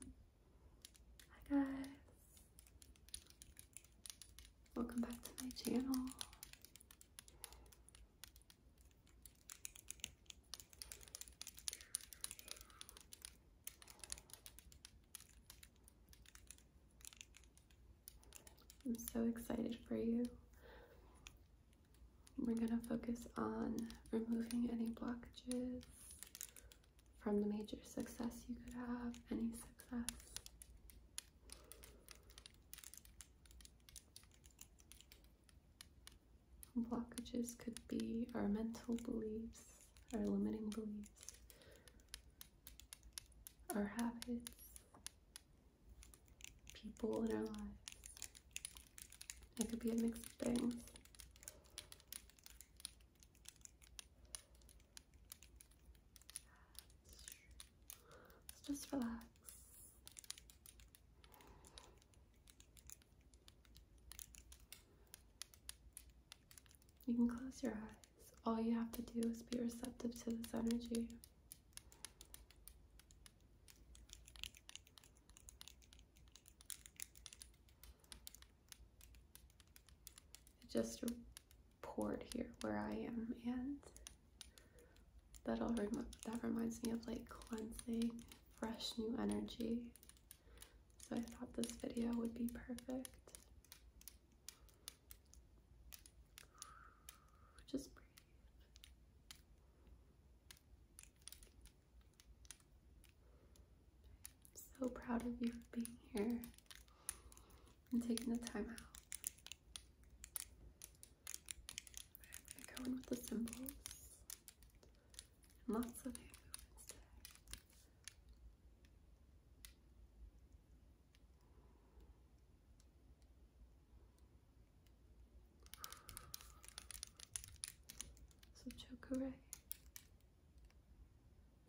Hi guys! Welcome back to my channel. I'm so excited for you. We're going to focus on removing any blockages from the major success you could have, any success. Blockages could be our mental beliefs, our limiting beliefs, our habits, people in our lives. It could be a mix of things just relax. You can close your eyes. All you have to do is be receptive to this energy. It just poured here where I am and that'll remind that reminds me of like cleansing, fresh new energy. So I thought this video would be perfect. Just breathe. I'm so proud of you for being here and taking the time out. going with the symbols lots of hand movements today. So Chokure.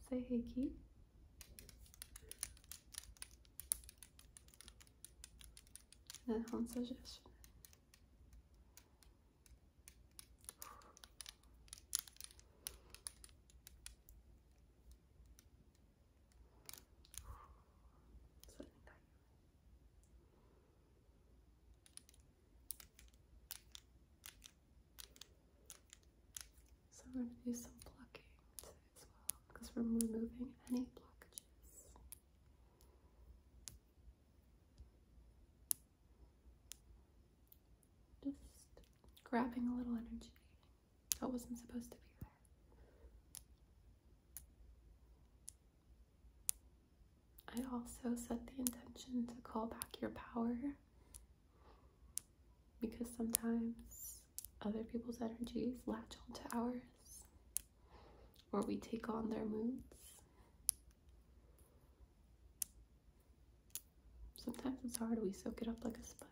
Say Heiki. That one suggestion. So we're going to do some plucking today as well because we're removing any blockages. Just grabbing a little energy that wasn't supposed to be there. I also set the intention to call back your power because sometimes other people's energies latch onto ours or we take on their moods. Sometimes it's hard, we soak it up like a sponge.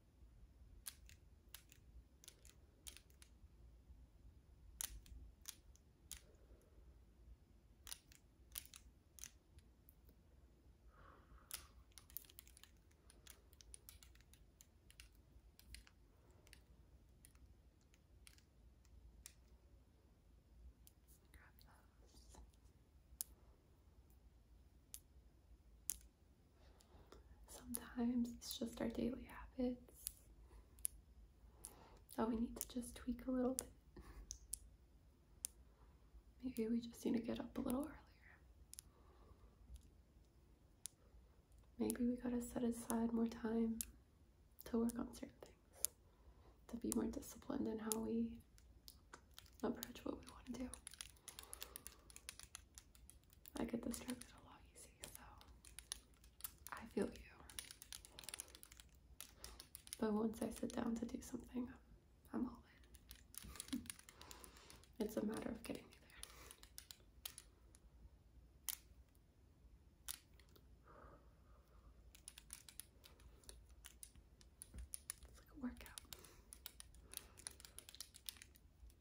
Grab those. Sometimes it's just our daily habits that we need to just tweak a little bit. Maybe we just need to get up a little earlier. Maybe we gotta set aside more time to work on certain things, to be more disciplined in how we approach what we want to do. I get distracted a lot easy, so I feel you. But once I sit down to do something, I'm all in. it's a matter of getting me there. It's like a workout.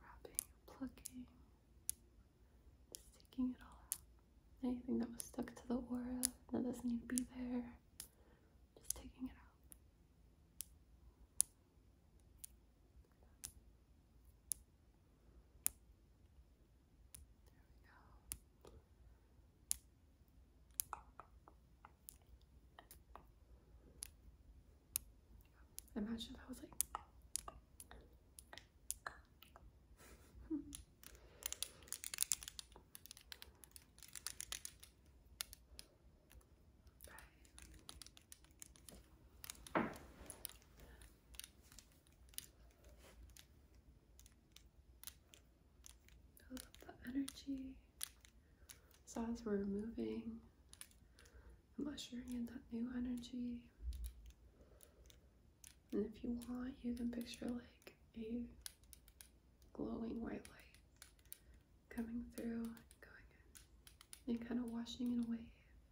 Wrapping, plucking, taking it all out. Anything that was stuck to the aura that doesn't need to be there, just taking it out. There Imagine if I was like Build up energy. So as we're moving, I'm ushering in that new energy. And if you want, you can picture like a glowing white light coming through and going in and kind of washing it away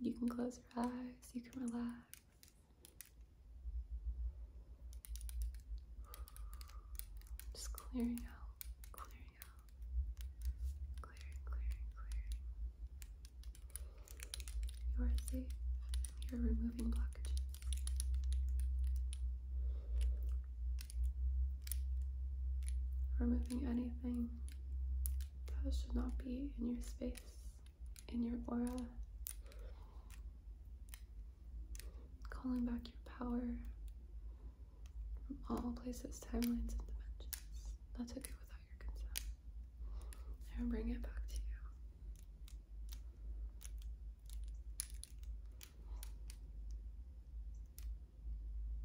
You can close your eyes, you can relax. Just clearing out, clearing out, clearing, clearing, clearing. You are safe. You're removing blockages. Removing anything that should not be in your space, in your aura. Calling back your power from all places, timelines, and dimensions. That's okay it without your consent. And bring it back to you.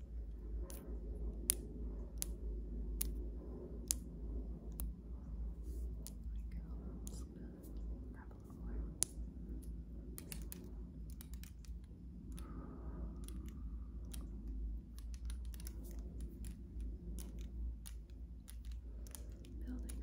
grab a little more. Building up. Okay.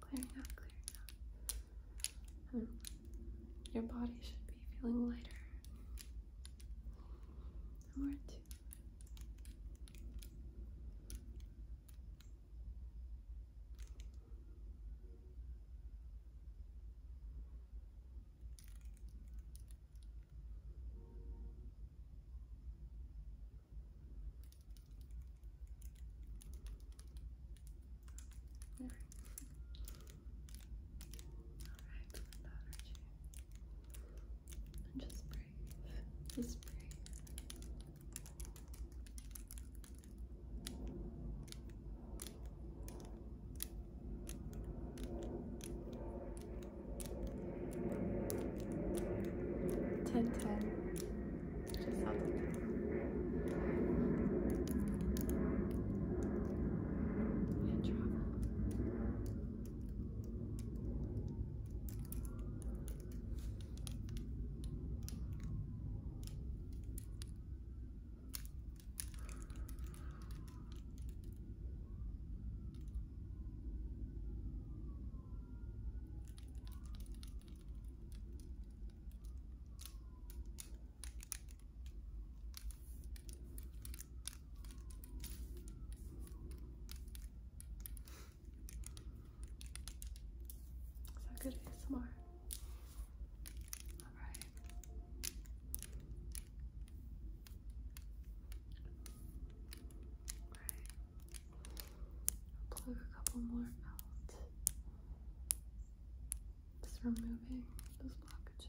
clear enough, clear enough. Hmm. your body should be feeling lighter. More two. All right, without just breathe. Just breathe. 10 10. Just out of 10. So good ASMR. All right. All right. Plug a couple more out. Just removing those blockages.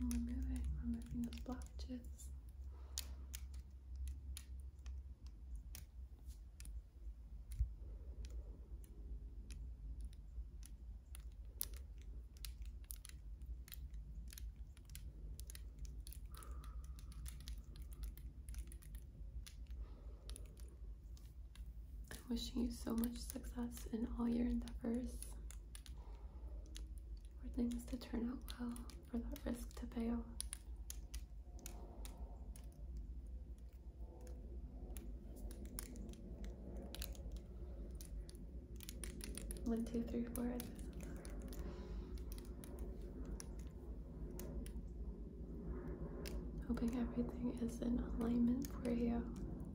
And remove it, removing those blockages. I'm wishing you so much success in all your endeavors. For things to turn out well, for that risk to pay off. One, two, three, four. Hoping everything is in alignment for you.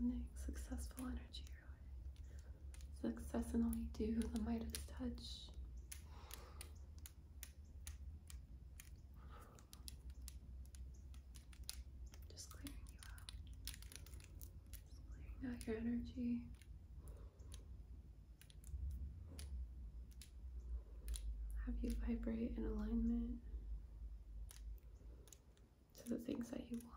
Sending successful energy your way success do, the might touch. Just clearing you out. clearing out your energy. Have you vibrate in alignment to the things that you want.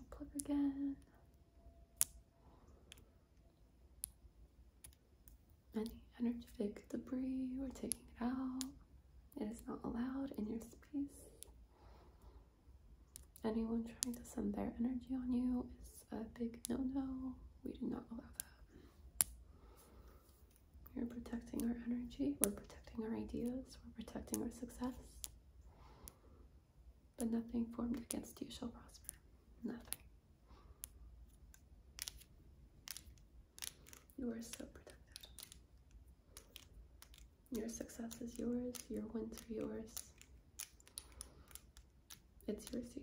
I'm gonna plug again. Any energetic debris, we're taking it out. It is not allowed in your space. Anyone trying to send their energy on you is a big no-no. We do not allow that. We are protecting our energy, we're protecting our ideas, we're protecting our success. But nothing formed against you shall prosper. Nothing. You are so protected. Your success is yours, your wins are yours. It's your season.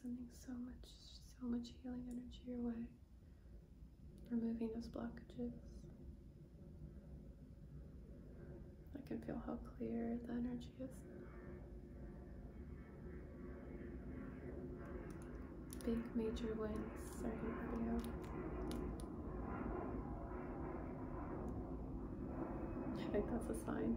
Sending so much, so much healing energy your way, removing those blockages. I can feel how clear the energy is. Big major wins starting video. I think that's a sign.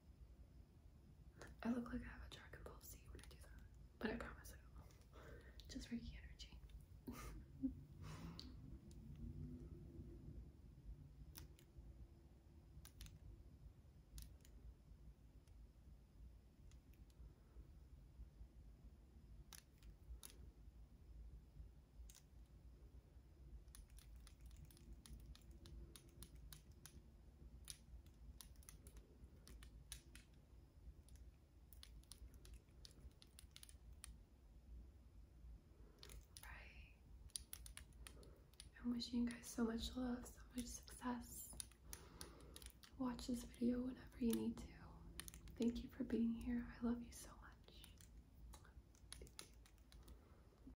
I look like I have a Dragon Ball Z when I do that, but I promise I don't. Just Reiki energy. Right. I'm wishing you guys so much love, so much success. Watch this video whenever you need to. Thank you for being here. I love you so much.